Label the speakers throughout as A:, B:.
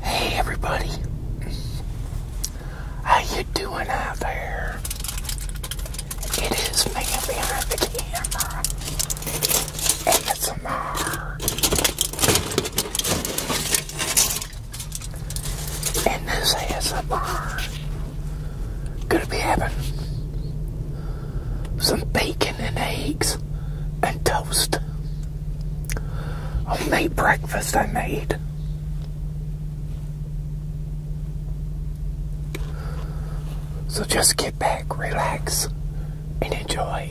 A: Hey everybody, how you doing out there? It is me behind the camera. ASMR. And this ASMR gonna be having some bacon and eggs and toast. Oh, Homemade breakfast I made. So just get back, relax, and enjoy.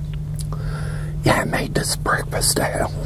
A: Yeah, I made this breakfast at home.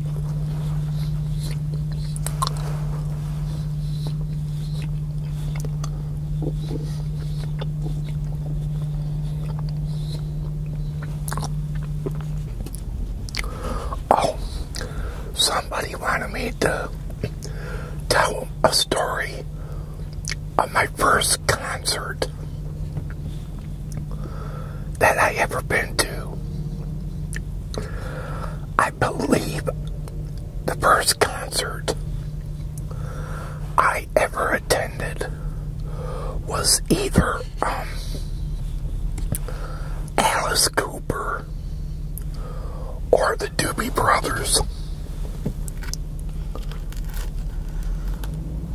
A: Oh, somebody wanted me to tell a story of my first concert that I ever been to. I believe the first concert I ever attended was either um, Alice Cooper or the Doobie Brothers.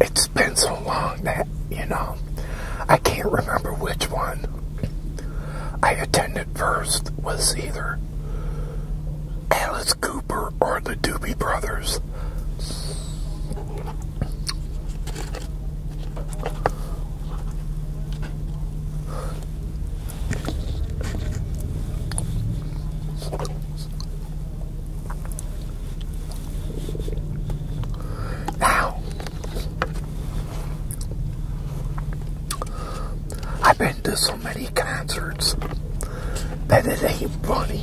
A: It's been so long that, you know, I can't remember which one I attended first was either Alice Cooper or the Doobie Brothers. Now, I've been to so many concerts Better than you, funny.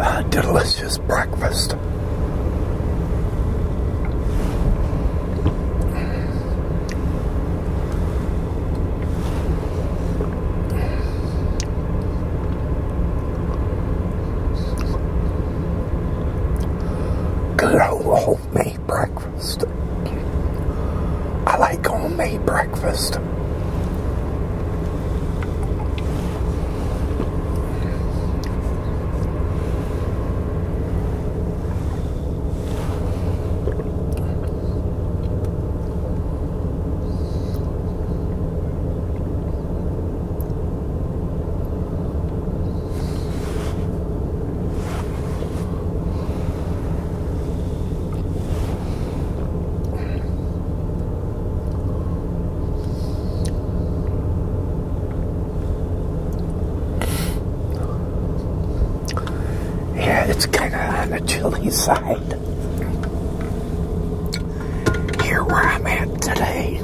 A: a delicious breakfast. Good homemade breakfast. I like homemade breakfast. Yeah, it's kind of on the chilly side here where I'm at today.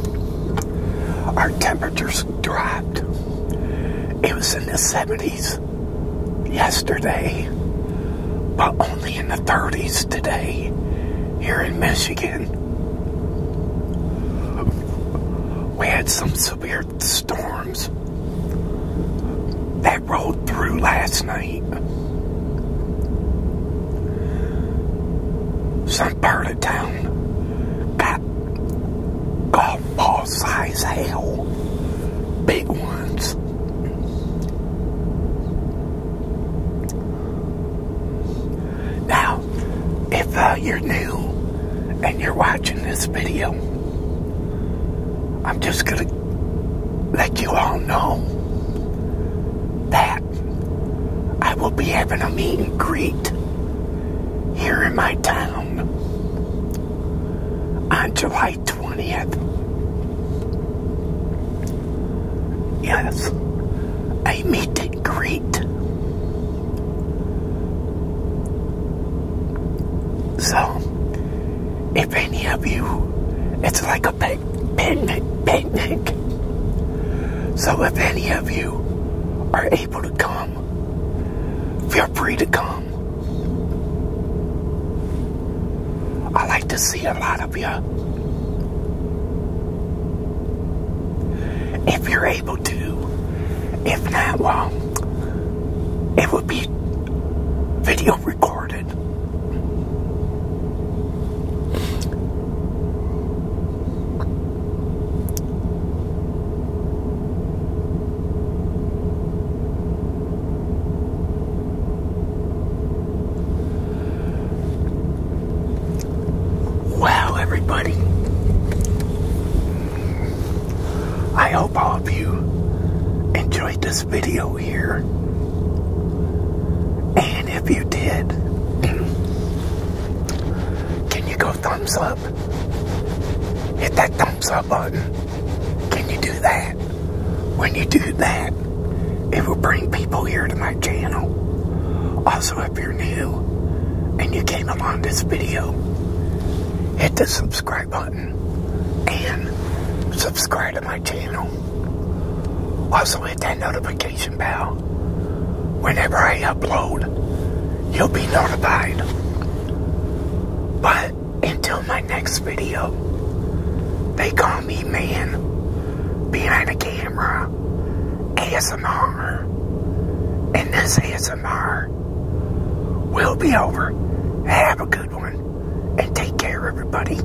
A: Our temperature dropped. It was in the 70s yesterday, but only in the 30s today here in Michigan. We had some severe storms that rolled through last night. Some part of town Got golf ball size hail. Big ones. Now, if uh, you're new and you're watching this video, I'm just going to let you all know that I will be having a meet and greet here in my town on July 20th. Yes, I meet and greet. So, if any of you, it's like a big picnic. So if any of you are able to come, Feel free to come. I like to see a lot of you. If you're able to. If not, well, it would be video recorded. Wow, everybody. I hope all of you enjoyed this video here. And if you did, can you go thumbs up? Hit that thumbs up button. Can you do that? When you do that, it will bring people here to my channel. Also, if you're new and you came along this video, hit the subscribe button and subscribe to my channel. Also, hit that notification Whenever I upload, you'll be notified. But until my next video, they call me man behind the camera ASMR. And this ASMR will be over. Have a good one and take care, everybody.